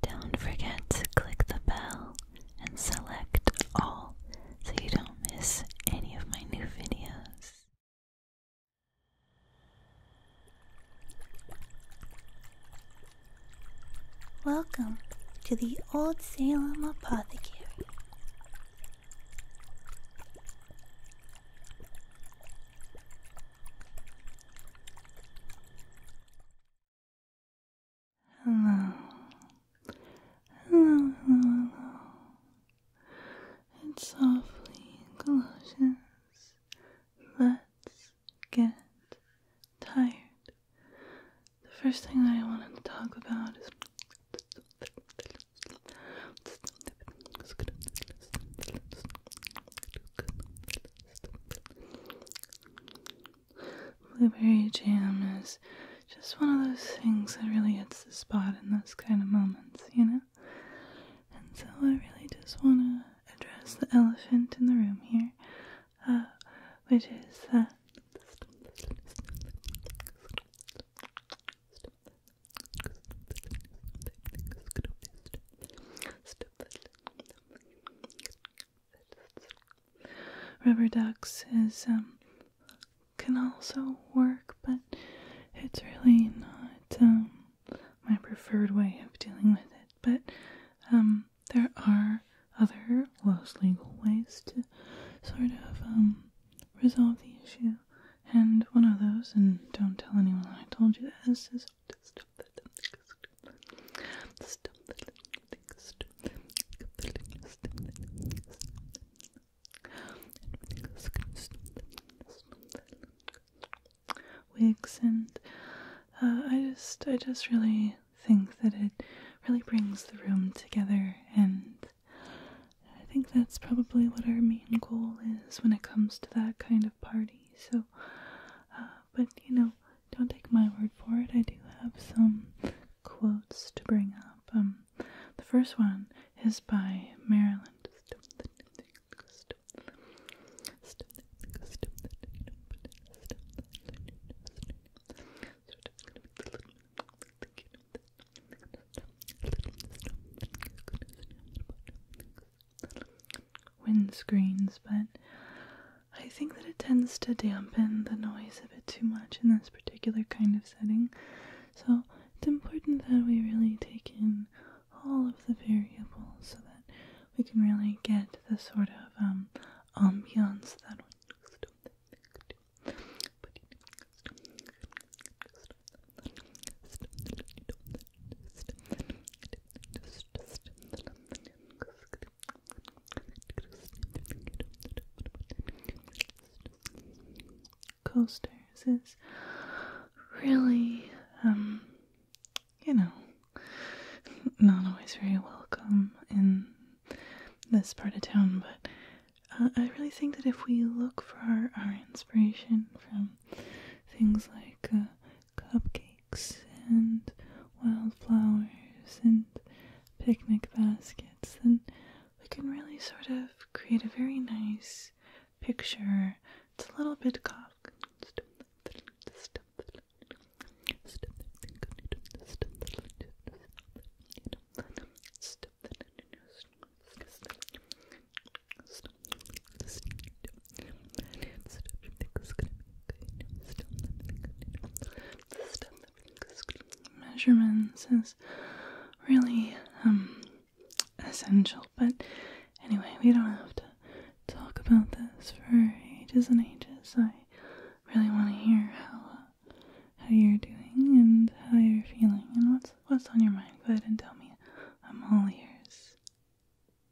Don't forget to click the bell and select all so you don't miss any of my new videos. Welcome to the Old Salem Apothecary. Hello. Hello, hello, hello. And softly in Colossians, let's get tired. The first thing that I wanted to talk about is. Blueberry jam is just one of those things that really hits the spot in those kind of moments, you know? And so I really just want to address the elephant in the room here, uh, which is that rubber ducks is um, can also work, but it's really not um, my preferred way of dealing with it. But um, there are other less legal ways to sort of resolve the issue. And one of those, and don't tell anyone I told you this, is wigs and uh, I just, I just really think that it really brings the room together and I think that's probably what our main goal is when it comes to that kind of party. So, uh, but you know, don't take my word for it. I do have some quotes to bring up. Um, the first one is by Marilyn. Windscreens, but I think that it tends to dampen the noise a bit too much in this particular kind of setting. So it's important that we really take in all of the variables so that we can really get the sort of um, ambiance that coasters is really, um, you know, not always very welcome in this part of town, but uh, I really think that if we look for our, inspiration from things like uh, cupcakes and wildflowers and picnic baskets, then we can really sort of create a very nice picture. It's a little bit cock measurements is really um, essential but anyway we don't have to talk about this for ages and ages i really want to hear how uh, how you're doing and how you're feeling and what's what's on your mind go ahead and tell me i'm all ears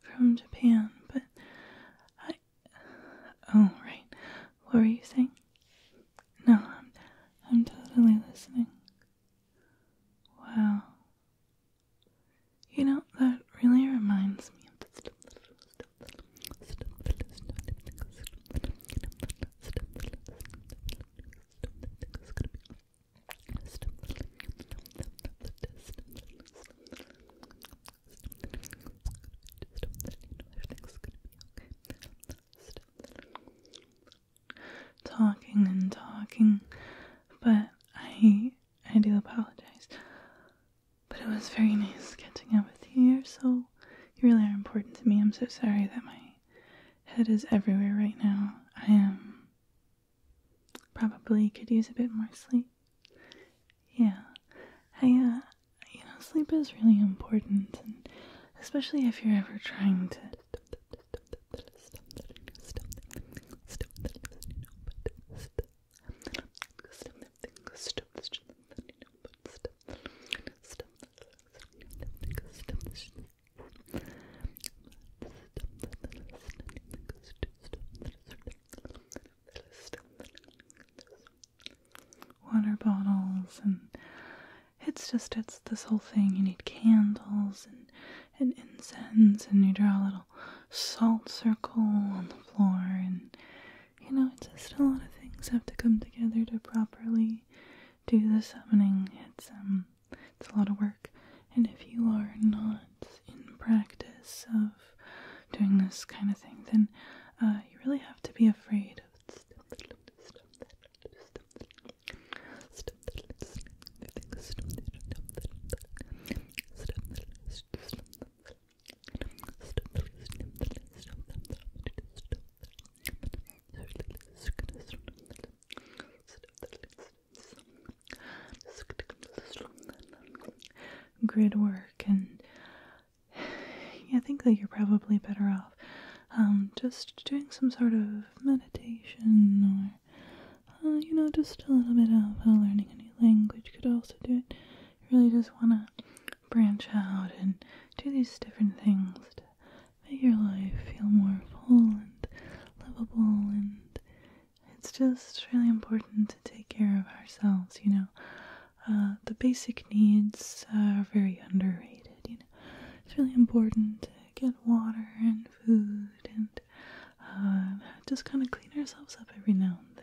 from Japan, but I. Oh, right. What were you saying? No, I'm, I'm totally listening. Wow. You know, that really reminds me of the Talking and talking, but I I do apologize. But it was very nice getting up with you. so you really are important to me. I'm so sorry that my head is everywhere right now. I am Probably could use a bit more sleep. Yeah, I, uh, you know, sleep is really important, and especially if you're ever trying to water bottles and it's just it's this whole thing you need candles and and incense and you draw a little salt circle on the floor and you know it's just a lot of things have to come together to properly do the summoning it's um it's a lot of work and if you are not in practice of doing this kind of thing, then you really have to be afraid of grid work and I think that you're probably better off um, just doing some sort of meditation or, uh, you know, just a little bit of uh, learning a new language could also do it. really just want to branch out and do these different things to make your life feel more full and livable and it's just really important to take care of ourselves, you know. the basic needs are very underrated, you know. It's really important to get water and food and just kind of clean ourselves up every now and then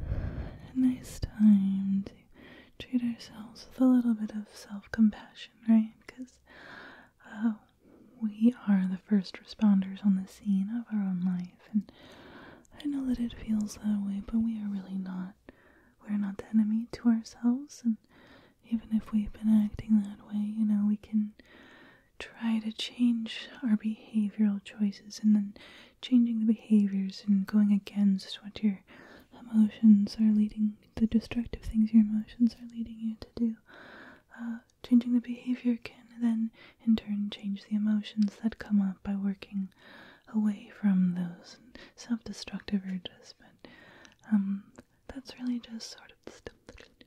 a nice time to treat ourselves with a little bit of self compassion, right? Because uh, we are the first responders on the scene of our own life, and I know that it feels that way, but we are really not. We're not the enemy to ourselves, and even if we've been acting that way, you know, we can try to change our behavioral choices and then changing the behaviors and going against what your emotions are leading, the destructive things your emotions are leading you to do. changing the behavior can then, in turn, change the emotions that come up by working away from those self-destructive urges. But that's really just sort of the stuff that can do.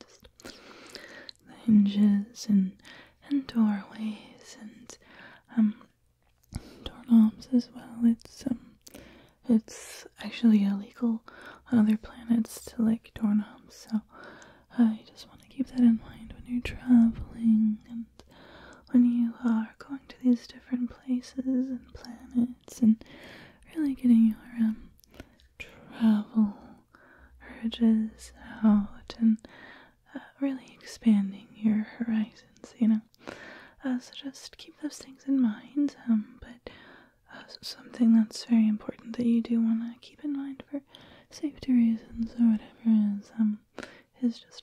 just the hinges and and doorways and um doorknobs as well. It's um it's actually illegal on other planets to like doorknobs, so I uh, just want to keep that in mind when you're traveling and when you are going to these different places and planets and really getting your um travel urges out and really expanding your horizons, you know. so just keep those things in mind. Um, but something that's very important that you do want to keep in mind for safety reasons or whatever is um is just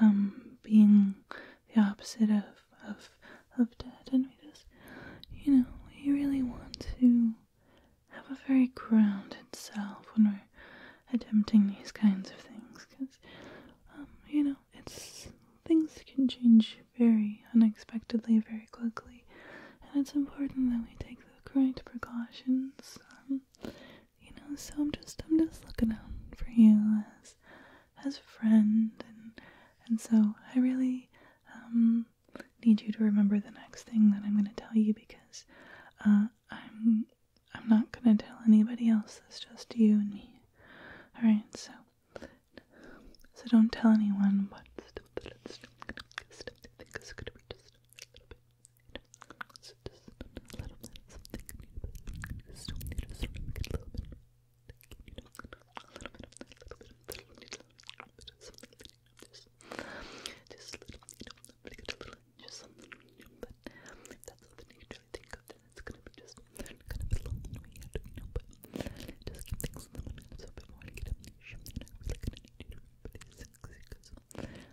um, being the opposite of, of, of dead. And we just, you know, we really want to have a very grounded self when we're attempting these kinds of things because, um, you know, it's things can change very unexpectedly, very quickly, and it's important that we take the correct precautions um, you know, so I'm just I'm just looking out for you as as a friend and and so I really um need you to remember the next thing that I'm gonna tell you because uh I'm I'm not gonna tell anybody else, it's just you and me. Alright, so so don't tell anyone but it's just a little bit something. You just don't need to sort of a little bit. You a little bit of a little bit of a little bit something. a little, you know, a little, just something. You know, but if that's something you can think of, then it's gonna be just kind of a long way you know. But just keep things in the moment. So before I get up, you know, I'm really gonna need you to be really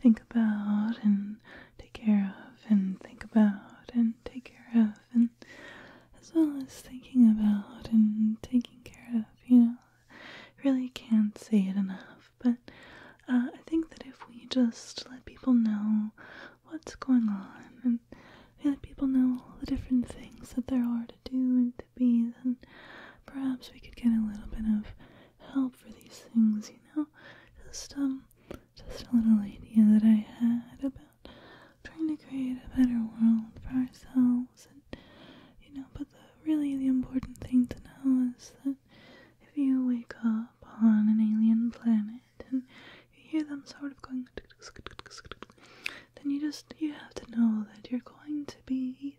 think about and take care of and think about and take care of and as well as thinking about and taking care of, you know. Really can't say it enough, but uh, I think that if we just let people know what's going on and we let people know the different things that there are to do and to be, then perhaps we could get a little bit of help for these things, um, just a little idea that I had about trying to create a better world for ourselves, and you know. But the really the important thing to know is that if you wake up on an alien planet and you hear them sort of going, then you just you have to know that you're going to be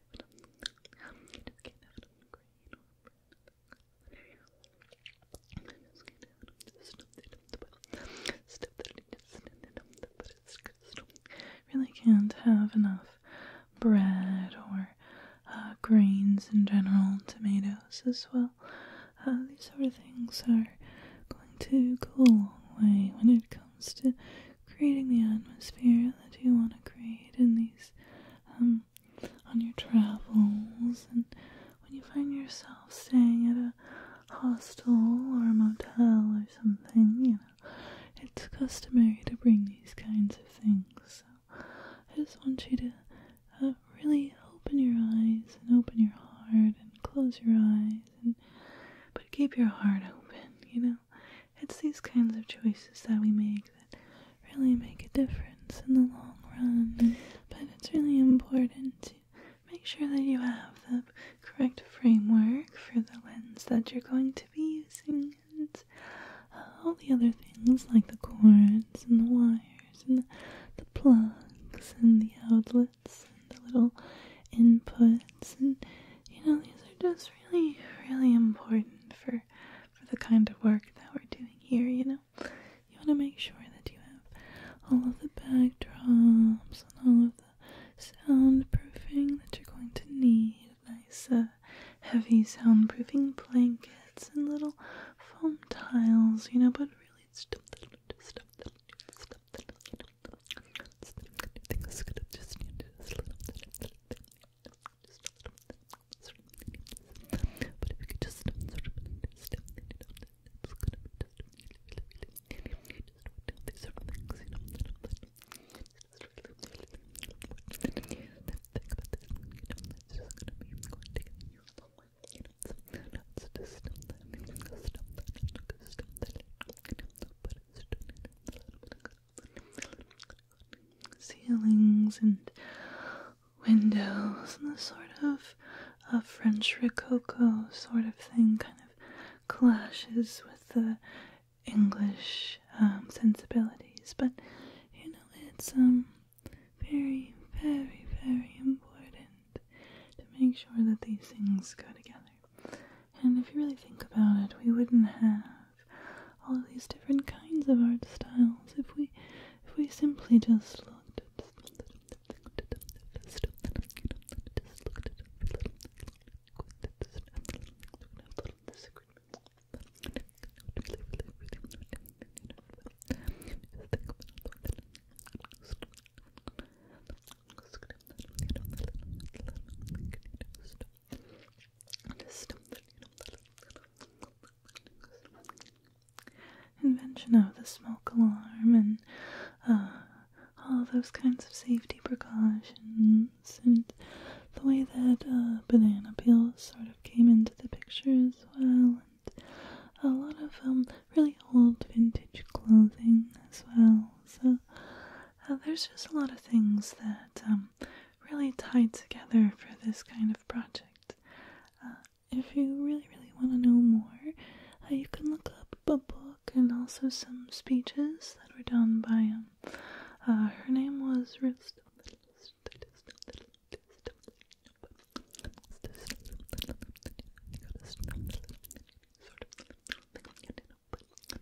Really can't have enough bread or uh, grains in general, tomatoes as well. Uh, these sort of things are going to go a long way when it comes to creating the atmosphere that you want to create in these um, on your travels and when you find yourself staying at a hostel or a motel or something, you know, it's customary to bring these kinds of things. So I just want you to uh, really open your eyes and open your heart and close your eyes and but keep your heart open, you know. It's these kinds of choices that we make that really make a difference in the long run. But it's really important to make sure that you have the correct framework for the lens that you're going to be using and uh, all the other things like the cords and the wires and the, the plugs and the outlets and the little inputs and you know these are just really really important for for the kind of work that we're doing here, you know? You want to make sure that you have all of the backdrops and all of the soundproofing that you're going to need. Nice, uh, heavy soundproofing blankets and little foam tiles, you know, but really stuff just a little bit, sort of but if you could just sort of sort of stem it up, it's gonna be just really, really, really, really just what down these sort of things, you know, that I'm just really, really, really important. And then think about this, you know, that's just gonna be going to get you a long way, you know, so let's just stem that, stem that, stem that, you know, but it's doing it a little bit, ceilings and windows and the sort of a French Rococo sort of thing kind of clashes with the English um, sensibilities, but you know it's um very very very important to make sure that these things go together. And if you really think about it, we wouldn't have all of these different kinds of art styles if we if we simply just looked at just looked invention of the smoke alarm and uh, all those kinds of safety precautions and the way that uh, banana peels sort of came into the picture as well and a lot of um, really old vintage clothing as well so uh, there's just a lot of things that um, really tied together for this kind of project. Uh, if you really, really want to know more, uh, you can look up a book and also some speeches that were done by um, uh, her name was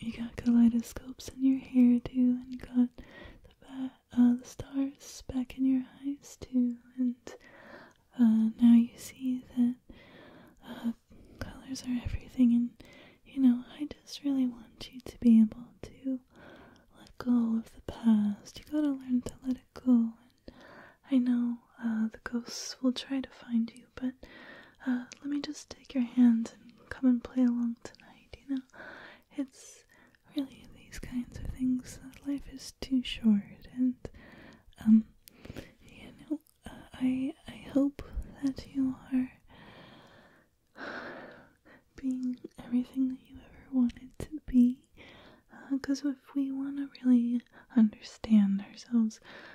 You got kaleidoscopes in your hair too, and got the, uh, the stars back in your eyes too, and uh, now you see that uh, colors are everything. And you know, I just really want you to be able to let go of the past. You gotta learn to let it go. And I know uh, the ghosts will try to find you, but uh, let me just take your hand and come and play along tonight, you know? It's really these kinds of things that life is too short, and, um, you know, uh, I, I hope that you are being everything that you ever wanted to be. Because uh, if we want to really understand ourselves,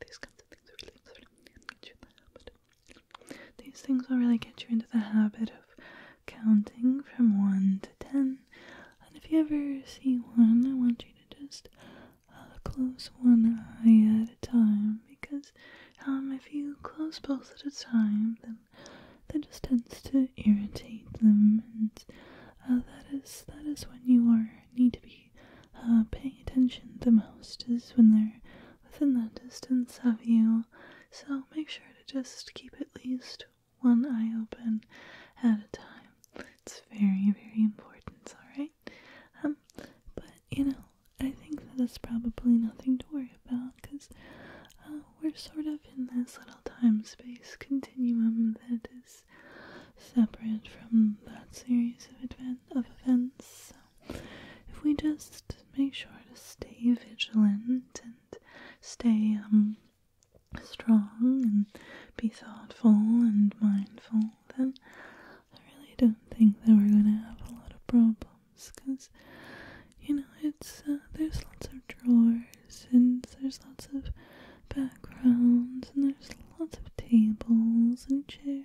These kinds of things really get you in the habit. These things will really get you into the habit of counting from one to ten. And if you ever see one, I want you to just close one eye at a time because if you close both at a time, then that just tends to irritate them, and uh, that is that is when you are need to be uh, paying attention the most is when they're within that distance of you. So make sure to just keep at least one eye open at a time. It's very, very important, alright? Um, but you know, I think that it's probably nothing to worry about because uh, we're sort of in this little time space continuum that is separate from that series of, events. So if we just make sure to stay vigilant and stay um, strong and be thoughtful and mindful, then I really don't think that we're gonna have a lot of problems because you know it's uh, there's lots of drawers and there's lots of backgrounds and there's lots of tables and chairs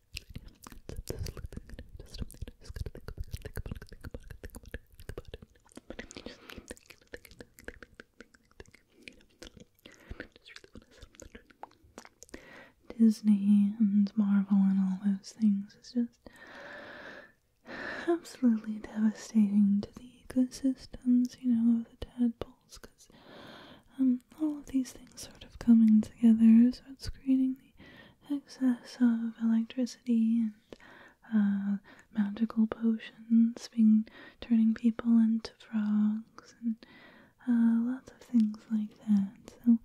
Disney and Marvel and all those things is just absolutely devastating to the ecosystems, you know, of the tadpoles, because um, all of these things sort of coming together, so it's creating the excess of electricity and uh, magical potions, being turning people into frogs, and uh, lots of things like that. So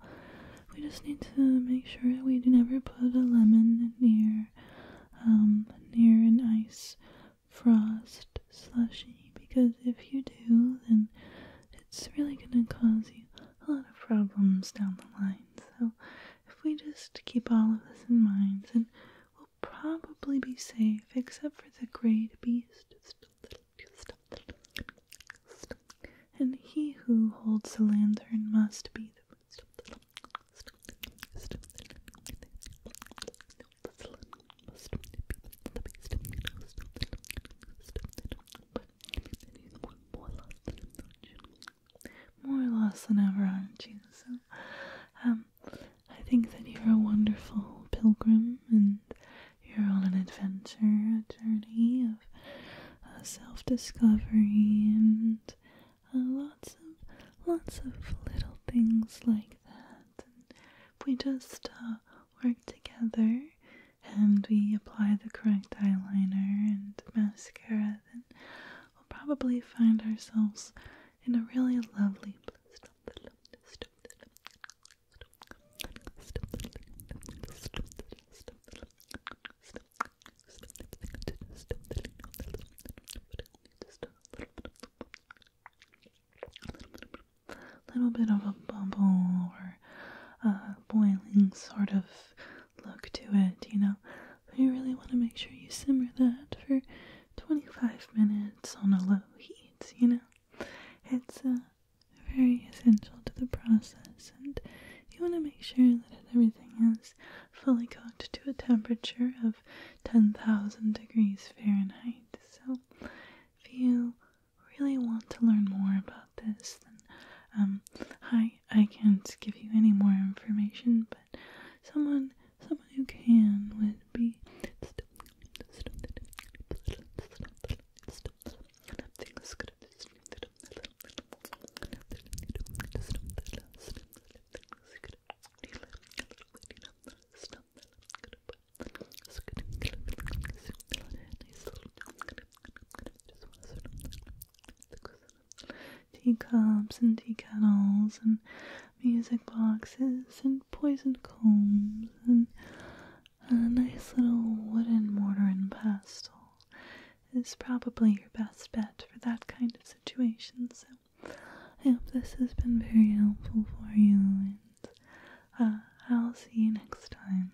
we just need to make sure we never put a lemon near, um, near an ice frost slushy, because if you do, then it's really gonna cause you a lot of problems down the line. So if we just keep all of this in mind, then we'll probably be safe, except for the great beast. And he who holds the lantern must be the more, or less than ever, aren't you? So, um, I think that you're a wonderful pilgrim and you're on an adventure, a journey of uh, self discovery and uh, lots of lots of little things like that. And we just uh, work together and we apply the correct eyeliner and mascara, then we'll probably find ourselves in a really lovely little bit of a bubble or a boiling sort of look to it, you know. you really want to make sure you simmer that for 25 minutes on a low heat, you know. It's uh, very essential to the process, and you want to make sure that everything is fully cooked to a temperature of 10,000 degrees Fahrenheit. So, if you really want to learn more about this, then um, I I can't give you any more information, but someone someone who can would be Teacups and tea and music boxes and poisoned combs and a nice little wooden mortar and pestle is probably your best bet for that kind of situation. So I hope this has been very helpful for you and uh, I'll see you next time.